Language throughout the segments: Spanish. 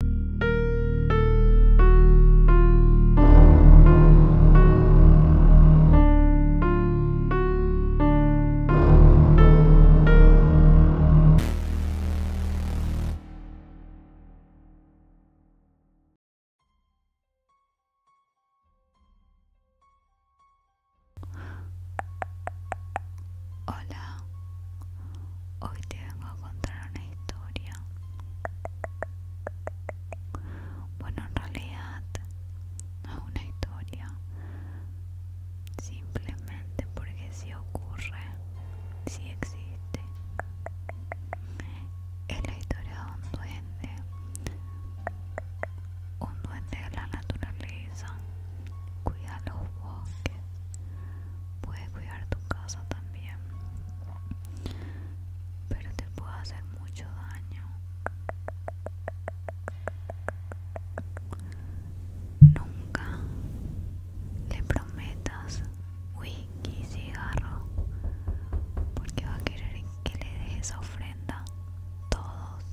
Hola, hoy te vengo a contar historia. Bueno, en realidad no es una historia. Simplemente porque si ocurre, si existe. Es la historia de un duende. Un duende de la naturaleza. Cuida los bosques. Puedes cuidar tu casa también pero te puede hacer mucho daño nunca le prometas whisky cigarro porque va a querer que le dejes ofrenda todos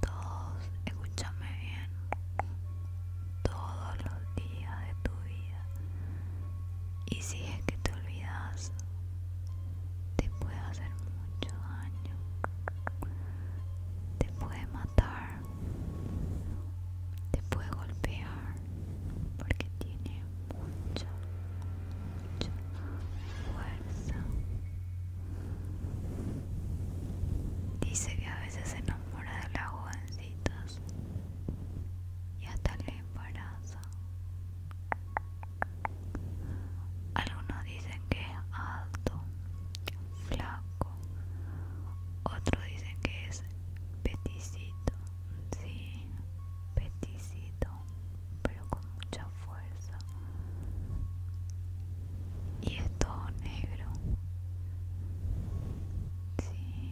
todos escúchame bien todos los días de tu vida y si es que te olvidas, te puede hacer mucho daño. Te puede matar. Te puede golpear. Porque tiene mucha, mucha fuerza. Dice que a veces se enamora de la y hasta el embarazo. Algunos dicen que es alto, flaco, otros dicen que es peticito, sí, peticito, pero con mucha fuerza. Y es todo negro. Sí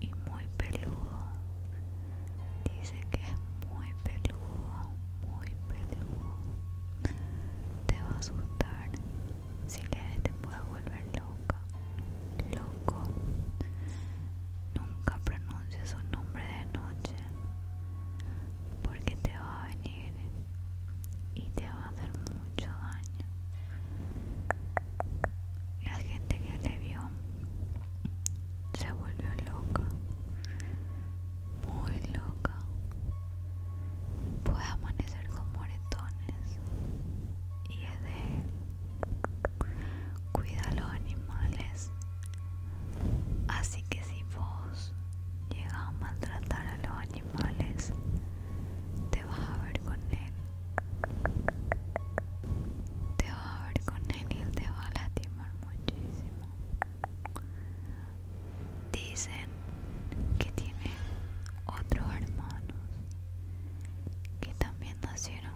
y muy peludo. Dice que es muy peludo, muy peludo. Te va a asustar. Si le te puede volver loca. Loco. Nunca pronuncies su nombre de noche. Porque te va a venir y te va va a hacer mucho daño. La gente que le vio se volvió loca, muy loca. Puede amanecer con moretones y es de cuida a los animales. Así que si vos llegas a maltratar a los animales, te vas a ver con él te vas a ver con él y te va a lastimar muchísimo dicen que tiene otros hermanos que también nacieron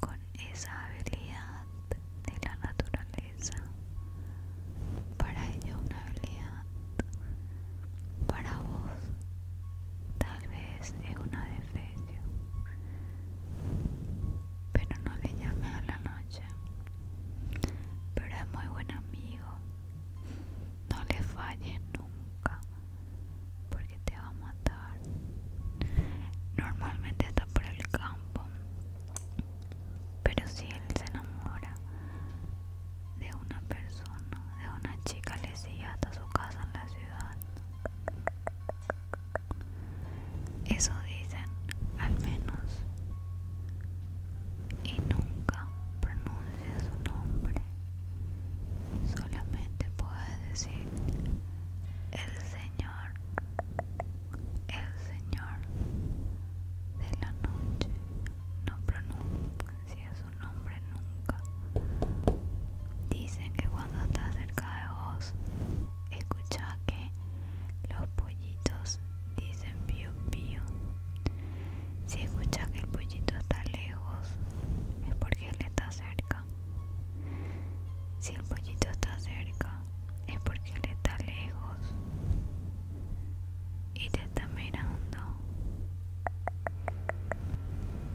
con esa habilidad de la naturaleza para ellos una habilidad para vos, tal vez es una defecio, pero no le llames a la noche. Pero es muy buen amigo, no le falles nunca, porque te va a matar. Normalmente está por el campo, pero si él se enamora, de una persona, de una chica, le sigue hasta su casa en la ciudad. Eso dicen, al menos. Y nunca pronuncia su nombre. Solamente puede decir el Señor, el Señor de la noche. No pronuncia su nombre nunca. Dicen que cuando está cerca de vos, escucha que los pollitos dicen pío pío. Si escucha que el pollito está lejos, es porque él está cerca. Si el pollito está cerca, es porque él está lejos. Y te está mirando?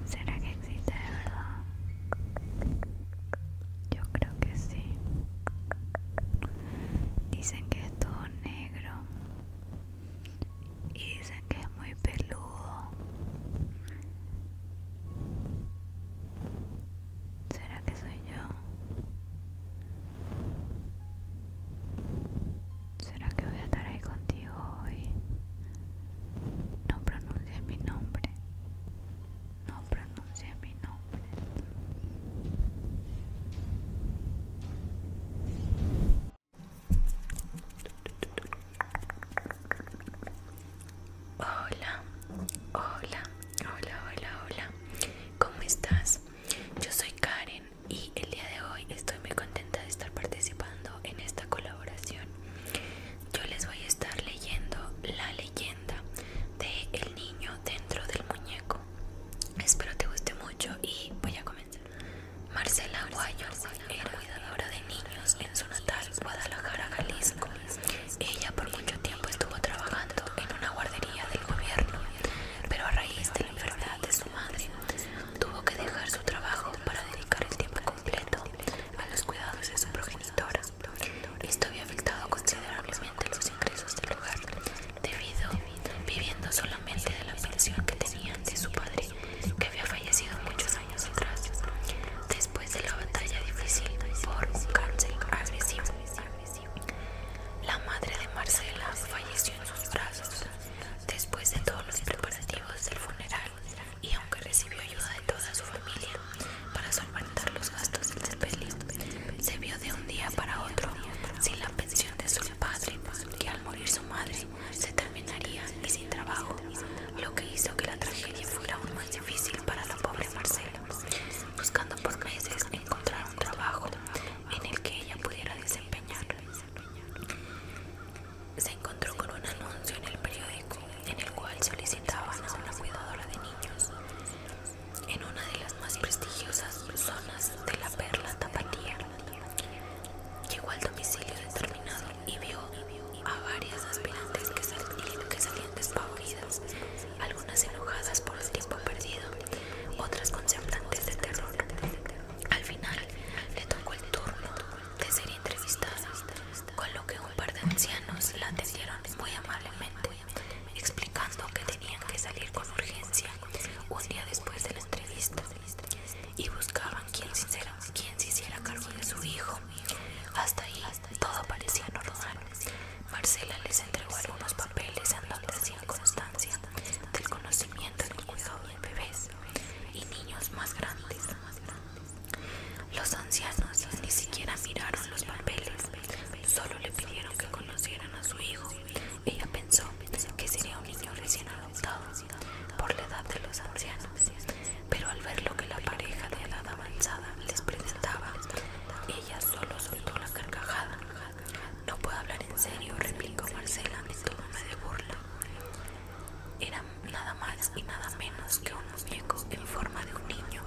¿Será que existe de verdad? Yo creo que sí. Dicen que es todo negro. Y dicen que es muy peludo. ¿Será que soy yo? ¿Será que voy a estar ahí contigo hoy? No pronuncie mi nombre. No pronuncie mi nombre. Hola, hola, hola, hola, hola. ¿Cómo estás? Yo soy Karen y el día de hoy estoy muy contenta de estar participando en esta colaboración. Yo les voy a estar leyendo la leyenda de El niño dentro del muñeco. Espero te guste mucho y voy a comenzar. Marcela Guayor era cuidadora de niños en su natal Guadalajara, Jalisco. Ella por mucho tiempo estuvo trabajando en una guardería del gobierno, pero a raíz de la enfermedad de su madre tuvo que dejar su trabajo para dedicar el tiempo completo a los cuidados de su progenitora. Esto había afectado considerablemente los ingresos del hogar, debido viviendo solamente de la pensión que tenía de su padre, que había fallecido muchos años atrás, después de la batalla difícil por un cáncer agresivo. La madre de Marcela falleció en sus brazos Después de todos los preparativos del funeral y aunque recibió ayuda de toda su familia para solventar los gastos del despelis, se vio de un día para otro sin la pensión de su padre, que al morir su madre se terminaría sin trabajo, lo que hizo que la tragedia fuera aún más difícil para la pobre Marcela, buscando por meses encontrar un trabajo en el que ella pudiera desempeñar. Se encontró con un anuncio en el periódico en el cual solicitaban a una cuidadora de niños en una de las más prestigiosas zonas de la perla tapatía. Llegó al domicilio determinado y vio a varias aspirantes que, salían despavoridas, algunas enojadas por el tiempo perdido, otras conceptantes de terror. Al final le tocó el turno de ser entrevistada, con lo que un par de ancianos la atendieron muy amablemente, explicando que tenían que salir con urgencia un día después de la entrevista y buscaban quien se, hiciera, quien se hiciera cargo de su hijo. Hasta ahí todo parecía normal. Marcela les entregó algunos papeles en donde hacían constancia del conocimiento del cuidado del bebé y niños más grandes. Los ancianos ni siquiera miraron los papeles, solo le pidieron que conocieran a su hijo. Ella pensó que sería un niño recién adoptado por la edad de los ancianos, pero al ver lo que la pareja de edad avanzada les presentaba, ella solo soltó la carcajada. No puedo hablar en serio, replicó Marcela en me de burla. Era nada más y nada menos que un muñeco en forma de un niño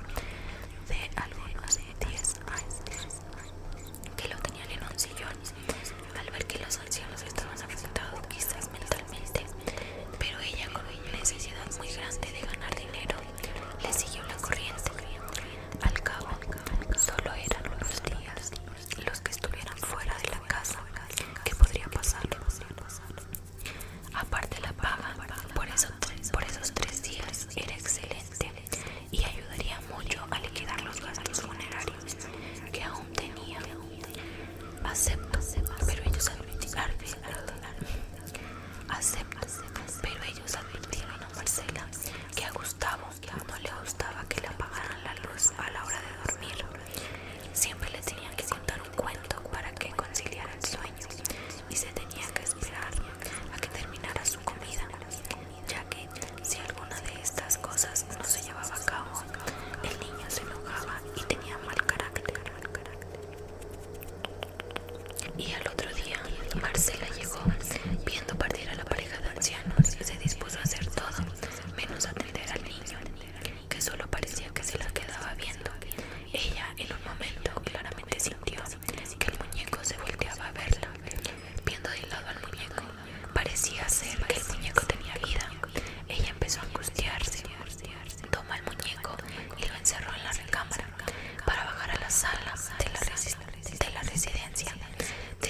de algo de 10 años que lo tenían en un sillón. Al ver que los ancianos estaban afectados quizás mentalmente, pero ella con una necesidad muy grande de ganar dinero le siguió la corriente. Al cabo, solo eran unos días los que estuvieran fuera de la casa, ¿qué podría pasar? Aparte la paga por, eso, por esos tres días era excelente y ayudaría mucho a liquidar los gastos funerarios que aún tenía. Acepto, pero ellos saben, acepto, pero ellos advirtieron Marcela que a Gustavo no le gustaba que le apagaran la luz a la hora de dormir. Siempre le tenían que contar un cuento para que conciliara el sueño y se tenía que esperar a que terminara su comida, ya que si alguna de estas cosas no se llevaba a cabo, el niño se enojaba y tenía mal carácter. Y al otro día, Marcela llegó viendo partir a la pareja de ancianos y se dispuso a hacer todo menos a niño, que solo parecía que se la quedaba viendo. Ella, en un momento, claramente sintió que el muñeco se volteaba a verla. Viendo de lado al muñeco, parecía ser que el muñeco tenía vida. Ella empezó a angustiarse. Toma el muñeco y lo encerró en la recámara para bajar a la sala de la residencia.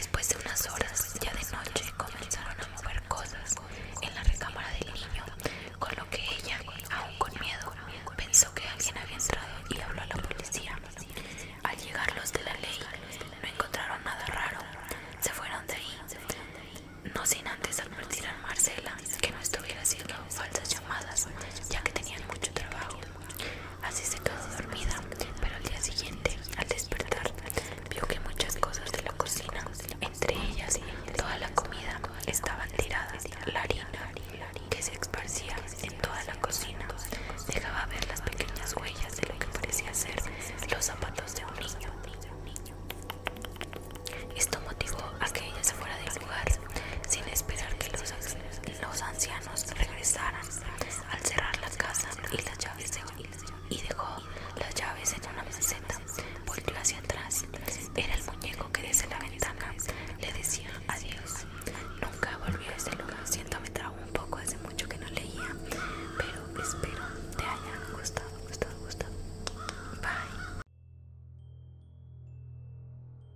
Después de unas horas, ya de noche, comenzaron a mover cosas en la recámara del niño, con lo que ella, aún con miedo, pensó que alguien había entrado y habló a la policía. Al llegar los de la ley, no encontraron nada raro. Se fueron de ahí, no sin antes advertir a Marcela que no estuviera haciendo falsas llamadas, ya que tenían mucho trabajo. Así se quedó dormida, pero al día siguiente, al despertar, vio que muchas cosas de la cocina, entre ellas toda la comida, estaban tiradas. La harina que se esparcía en toda la cocina dejaba ver las pequeñas huellas de lo que parecía ser los zapatos de un niño. Esto motivó a que ella se fuera del lugar sin esperar que los, ancianos regresaran. Al cerrar la casa y las llaves de y dejó las llaves en una meseta. Volvió hacia atrás. Era el muñeco que desde la ventana le decía adiós. Nunca volvió a este lugar. Siento me trago un poco, hace mucho que no leía, pero espero te haya gustado, gustado, gustado. Bye.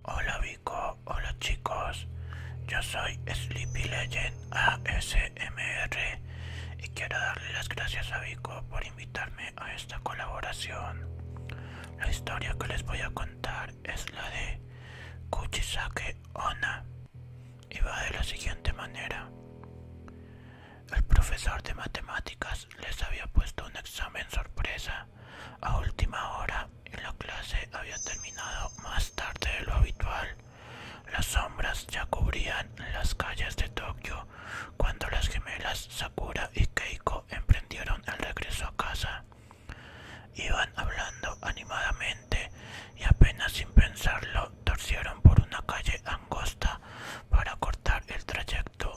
Hola Vico, hola chicos. Yo soy Sleepy Legend ASMR y quiero darle las gracias a Vico por invitarme a esta colaboración. La historia que les voy a contar es la de Kuchisake Ona y va de la siguiente manera. El profesor de matemáticas les había puesto un examen sorpresa a última hora y la clase había terminado más tarde de lo habitual. Las sombras ya cubrían las calles de Tokio cuando las gemelas Sakura y Keiko emprendieron el regreso a casa. Iban hablando animadamente y apenas sin pensarlo torcieron por una calle angosta para cortar el trayecto.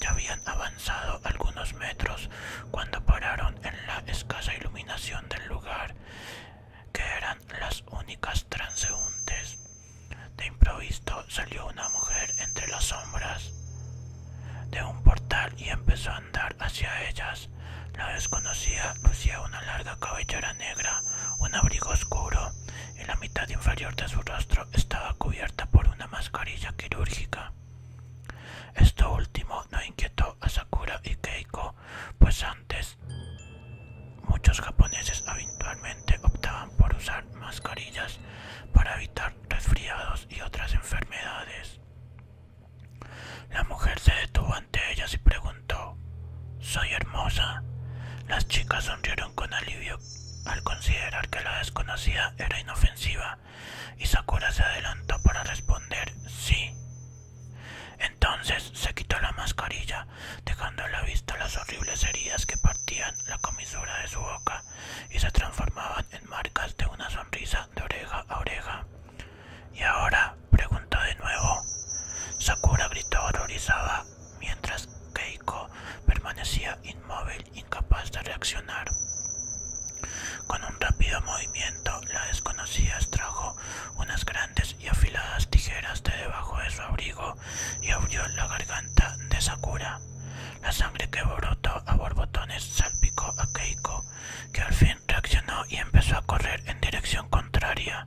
Ya habían avanzado algunos metros cuando pararon en la escasa iluminación del lugar, que eran las únicas transeúntes. De improviso salió una mujer entre las sombras de un portal y empezó a andar hacia ellas. La desconocida lucía una larga cabellera negra, un abrigo oscuro y la mitad inferior de su rostro estaba cubierta por una mascarilla quirúrgica. Esto último no inquietó a Sakura y Keiko, pues antes Muchos japoneses habitualmente optaban por usar mascarillas para evitar resfriados y otras enfermedades. La mujer se detuvo ante ellas y preguntó, ¿Soy hermosa? Las chicas sonrieron con alivio al considerar que la desconocida era inofensiva y Sakura se adelantó para responder, sí. Entonces se quitó la mascarilla, dejando a la vista las horribles heridas que partían la comisura de su boca y se transformaban en marcas de una sonrisa de oreja a oreja. ¿Y ahora? preguntó de nuevo. Sakura gritó horrorizada, mientras Keiko permanecía inmóvil, incapaz de reaccionar. Con un rápido movimiento, la desconocida extrajo unas grandes y afiladas tijeras de debajo de su abrigo y abrió la garganta de Sakura. La sangre que brotó a borbotones salpicó a Keiko, que al fin reaccionó y empezó a correr en dirección contraria,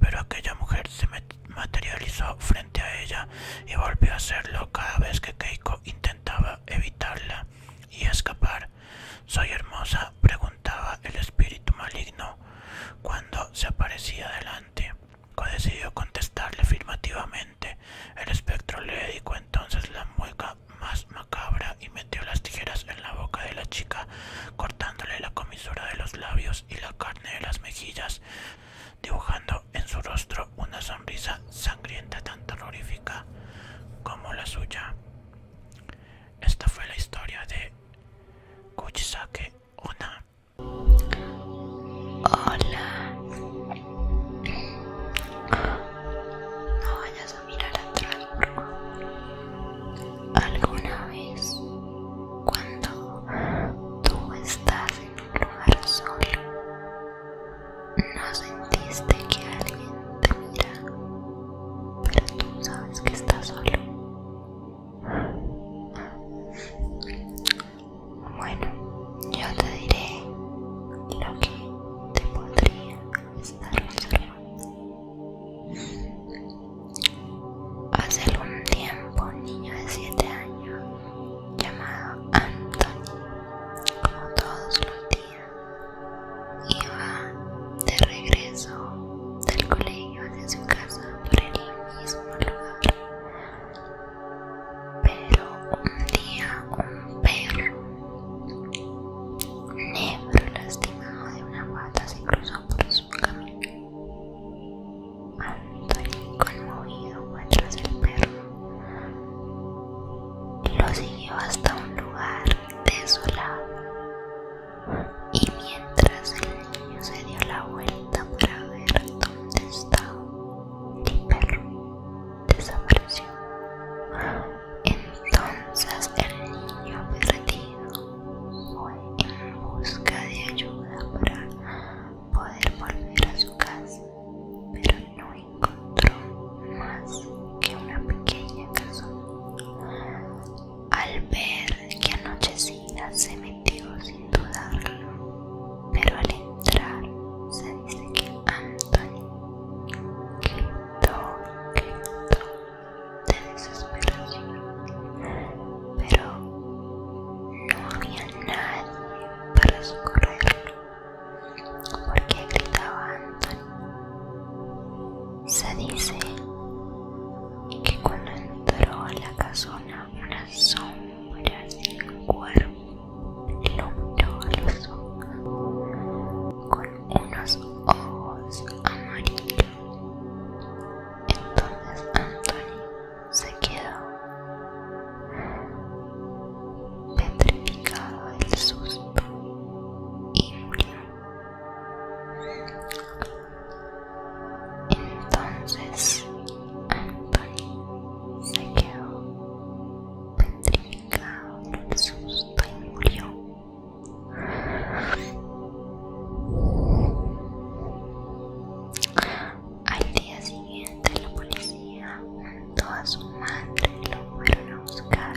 pero aquella mujer se materializó frente a ella y volvió a hacerlo cada vez que Keiko intentaba evitarla y escapar. Soy hermosa, preguntó el espíritu maligno cuando se aparecía delante. decidió contestarle afirmativamente. El espectro le dedicó entonces la mueca más macabra y metió las tijeras en la boca de la chica, cortándole la comisura de los labios y la carne de las mejillas, dibujando en su rostro una sonrisa sangrienta tan terrorífica como la suya. Esta fue la historia de Kuchisake Onna. Hola. No vayas a mirar atrás, favor Alguna vez, cuando tú estás en un lugar solo, no sentiste que alguien te mira, pero tú sabes que estás solo. Bueno, yo te diré lo que te podría estar observando. Hace algún tiempo un niño de 7 años llamado Anthony, como todos los días, iba de regreso del colegio de su casa por el pero un día un perro negro lastimado de una guata se cruzó por su camino. Anthony, conmovido, fue tras el perro. Lo siguió hasta un lugar desolado y mientras el niño se dio la vuelta para ver dónde estaba, el perro desapareció. Entonces el niño perdido fue en busca de ayuda para poder volver a su casa, pero no encontró más que una pequeña casa al ver que anochecida se metió sin dudarlo, pero al entrar se dice que Anthony gritó, gritó de desesperación, pero no había nadie para socorrerlo, porque gritaba Anthony. Se dice que cuando entró a la casa una sombra sin cuerpo, el hombro a los ojos, con unos ojos amarillos. Entonces Anthony se quedó petrificado del susto y murió. Entonces Anthony se quedó petrificado el susto y murió. Al día siguiente la policía mandó a su madre y lo fueron a buscar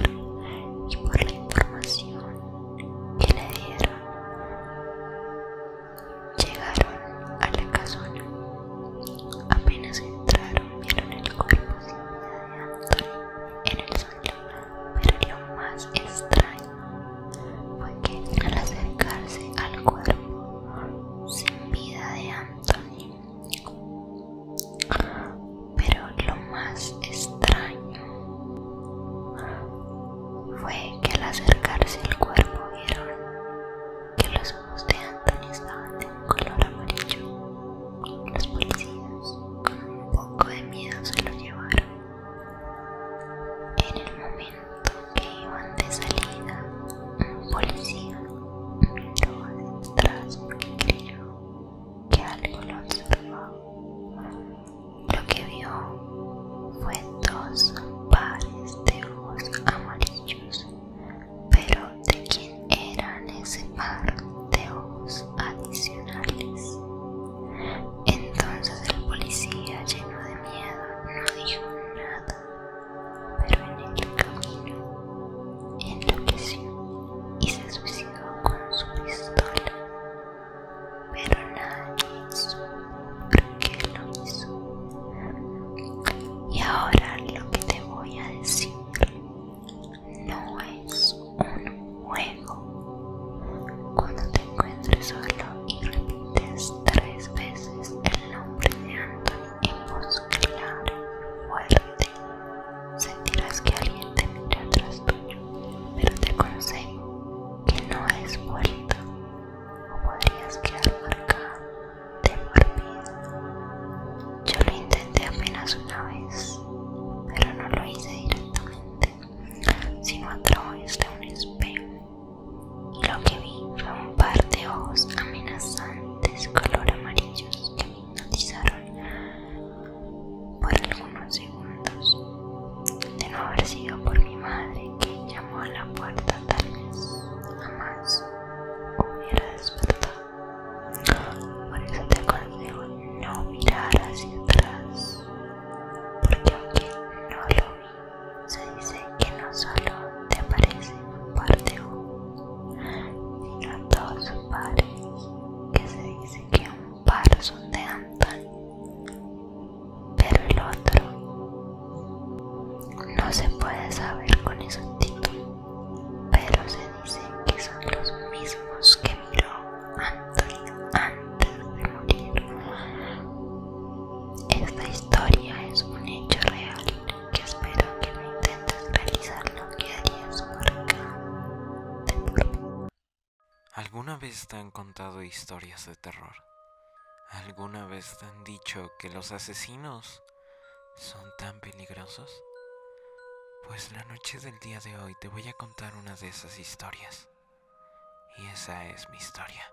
y por la información que le dieron Llegaron a la casona. Apenas entraron vieron el cuerpo sin vida de Anthony en el suelo, pero lo más extraño fue que al acercarse al cuerpo sin vida de Anthony, pero lo más extraño fue que al acercarse el cuerpo vieron que los ojos de Anthony estaban de un color amarillo. Los policías con un poco de miedo se lo llevaron. En el momento que iban de salida, un policía miró detrás atrás porque creyó que algo lo observaba. Lo que vio fue dos pares de ojos amarillos, pero ¿de quién eran ese par de ojos adicionales? Entonces el policía, lleno de miedo, no dijo nada, pero en el camino enloqueció y se suicidó con su pistola pero nadie hizo, por qué lo hizo. Y ahora lo que te voy a decir no es un juego. Cuando te encuentres solo y repites tres veces el nombre de Anthony en voz clara fuerte, sentirás que alguien te mira atrás tuyo, pero te consejo que no es vuelta o podrías quedar marcado de por vida. Yo lo intenté apenas una vez, pero no lo hice directamente, sino a través de un espejo. Y lo que vi fue un par de ojos amenazantes color amarillos que me hipnotizaron por algunos segundos. De no haber sido por mi madre que a la puerta tal vez jamás hubiera despertado. Por eso te aconsejo no mirar hacia atrás, porque aunque no lo vi, se dice que no solo te aparece un par de ojos, sino dos pares, que se dice que un par son de andan pero el otro no se puede saber con título, pero se dice que son los mismos que miró antes de morir. Esta historia es un hecho real que espero que no intentes realizar lo que harías por acá ¿Alguna vez te han contado historias de terror? ¿Alguna vez te han dicho que los asesinos son tan peligrosos? Pues la noche del día de hoy te voy a contar una de esas historias. Y esa es mi historia.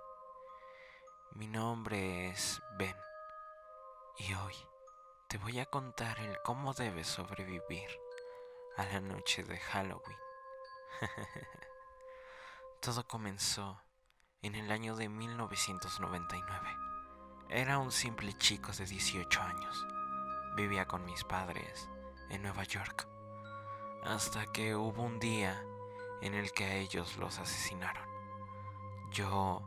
Mi nombre es Ben. Y hoy te voy a contar el cómo debes sobrevivir a la noche de Halloween. Todo comenzó en el año de 1999. Era un simple chico de 18 años. Vivía con mis padres en Nueva York, hasta que hubo un día en el que a ellos los asesinaron. Yo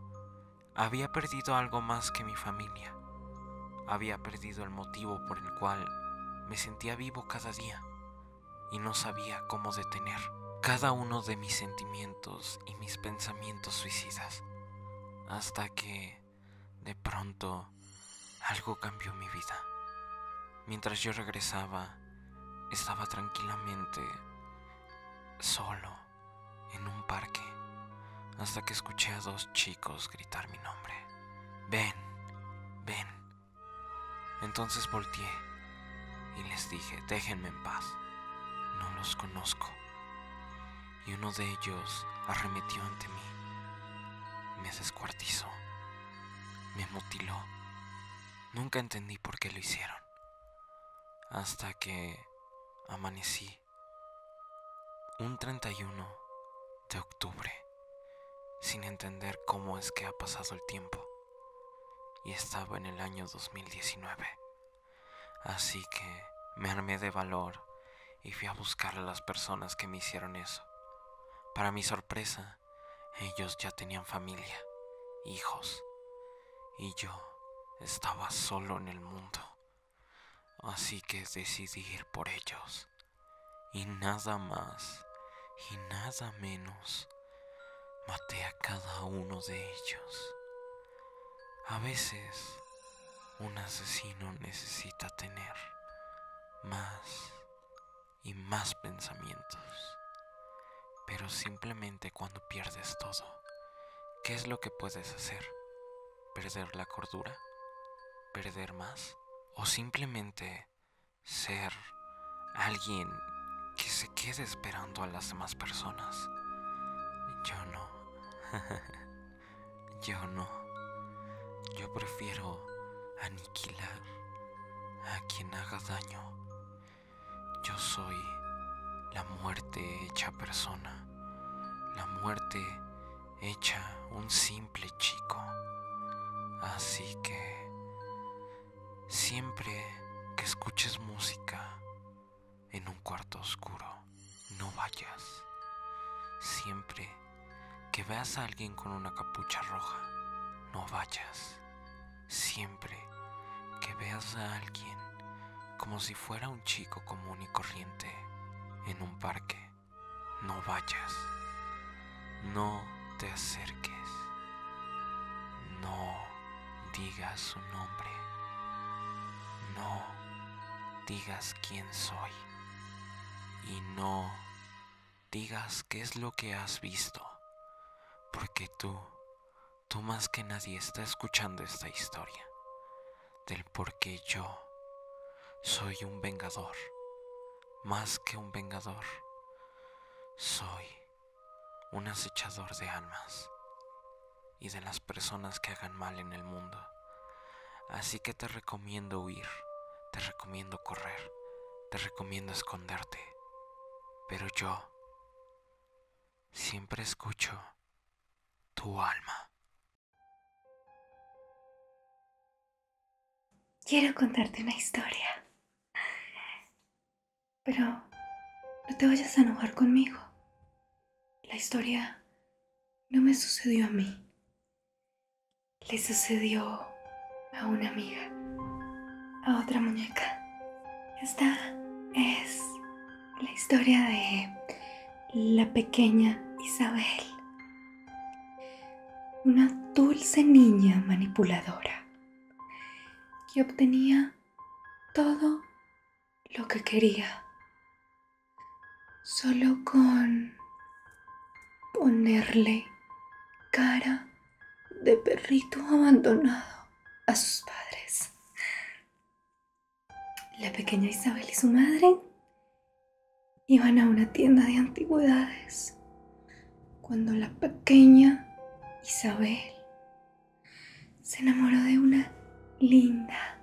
había perdido algo más que mi familia. Había perdido el motivo por el cual me sentía vivo cada día y no sabía cómo detener cada uno de mis sentimientos y mis pensamientos suicidas, hasta que, de pronto, algo cambió mi vida. Mientras yo regresaba, estaba tranquilamente solo en un parque, hasta que escuché a dos chicos gritar mi nombre. Ven, ven. Entonces volteé y les dije, déjenme en paz, no los conozco. Y uno de ellos arremetió ante mí, me descuartizó, me mutiló. Nunca entendí por qué lo hicieron, hasta que amanecí un 31 de octubre, sin entender cómo es que ha pasado el tiempo y estaba en el año 2019. Así que me armé de valor y fui a buscar a las personas que me hicieron eso. Para mi sorpresa, ellos ya tenían familia, hijos, y yo estaba solo en el mundo. Así que decidí ir por ellos. Y nada más, y nada menos. Maté a cada uno de ellos. A veces un asesino necesita tener más y más pensamientos. Pero simplemente cuando pierdes todo, ¿qué es lo que puedes hacer? ¿Perder la cordura? ¿Perder más? ¿O simplemente ser alguien que se quede esperando a las demás personas. Yo no. Yo no. Yo prefiero aniquilar a quien haga daño. Yo soy la muerte hecha persona. La muerte hecha un simple chico. Así que Siempre que escuches música en un cuarto oscuro, no vayas. Siempre que veas a alguien con una capucha roja, no vayas. Siempre que veas a alguien como si fuera un chico común y corriente en un parque, no vayas no te acerques, no digas su nombre, no digas quién soy y no digas qué es lo que has visto, porque tú, tú más que nadie está escuchando esta historia del por qué yo soy un vengador, más que un vengador, soy un acechador de almas y de las personas que hagan mal en el mundo. Así que te recomiendo huir, te recomiendo correr, te recomiendo esconderte. Pero yo siempre escucho tu alma. Quiero contarte una historia. Pero no te vayas a enojar conmigo. La historia no me sucedió a mí. Le sucedió a una amiga, a otra muñeca. Esta es la historia de la pequeña Isabel. Una dulce niña manipuladora y obtenía todo lo que quería. Solo con ponerle cara de perrito abandonado a sus padres. La pequeña Isabel y su madre iban a una tienda de antigüedades cuando la pequeña Isabel se enamoró de una linda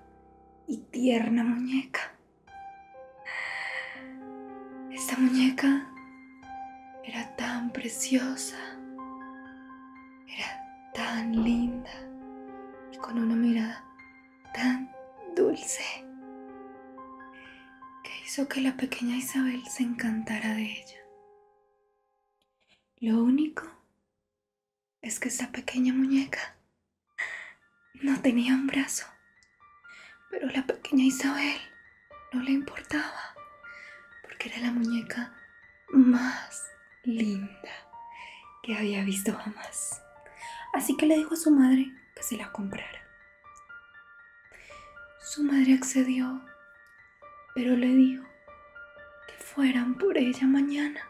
y tierna muñeca. Esta muñeca era tan preciosa, era tan linda y con una mirada tan dulce que hizo que la pequeña Isabel se encantara de ella. Lo único es que esa pequeña muñeca no tenía un brazo, pero la pequeña Isabel no le importaba porque era la muñeca más linda que había visto jamás. Así que le dijo a su madre que se la comprara. Su madre accedió pero le dijo que fueran por ella mañana,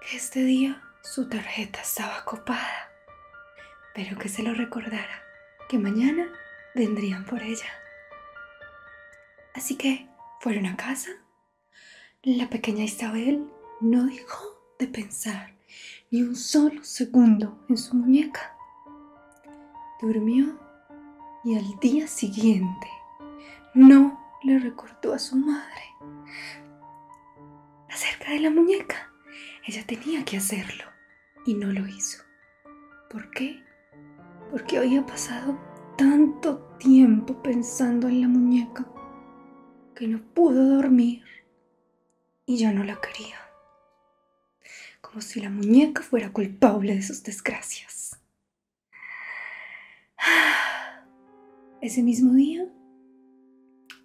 que este día su tarjeta estaba copada, pero que se lo recordara, que mañana vendrían por ella. Así que fueron a casa. La pequeña Isabel no dejó de pensar ni un solo segundo en su muñeca. Durmió y al día siguiente no le recordó a su madre acerca de la muñeca. Ella tenía que hacerlo y no lo hizo. ¿Por qué? Porque había pasado tanto tiempo pensando en la muñeca que no pudo dormir y yo no la quería como si la muñeca fuera culpable de sus desgracias. Ese mismo día,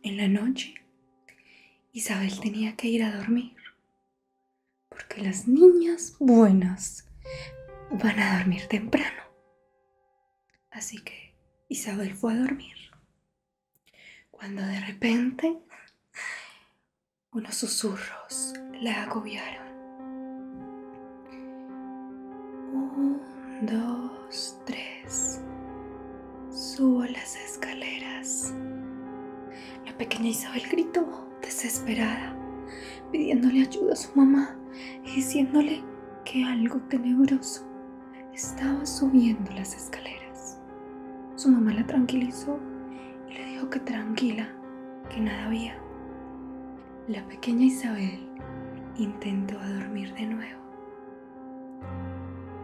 en la noche, Isabel tenía que ir a dormir, porque las niñas buenas van a dormir temprano. Así que Isabel fue a dormir, cuando de repente unos susurros la agobiaron. Un, dos, tres. Subo las escaleras. La pequeña Isabel gritó, desesperada, pidiéndole ayuda a su mamá diciéndole que algo tenebroso estaba subiendo las escaleras. Su mamá la tranquilizó y le dijo que tranquila, que nada había. La pequeña Isabel intentó dormir de nuevo.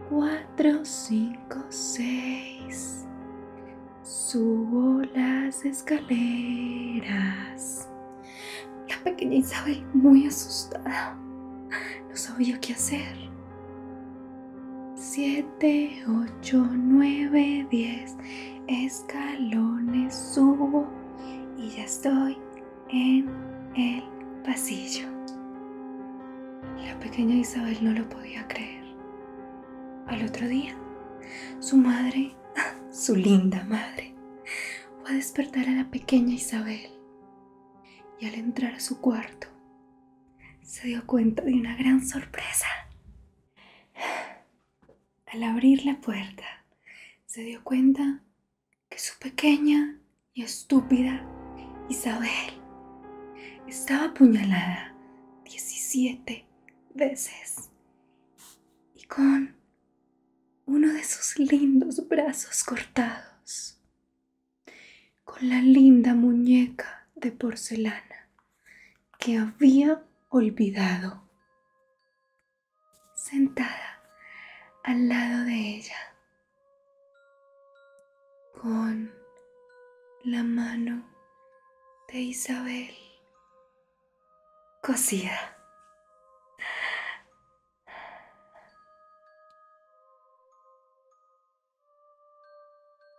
Cuatro, cinco, seis. Subo las escaleras. La pequeña Isabel, muy asustada, no sabía qué hacer. 7, 8, 9, 10 escalones subo y ya estoy en el pasillo. La pequeña Isabel no lo podía creer. Al otro día, su madre, su linda madre, fue a despertar a la pequeña Isabel y al entrar a su cuarto se dio cuenta de una gran sorpresa. Al abrir la puerta, se dio cuenta que su pequeña y estúpida Isabel estaba apuñalada 17 veces y con uno de sus lindos brazos cortados, con la linda muñeca de porcelana que había olvidado, sentada al lado de ella, con la mano de Isabel cosida.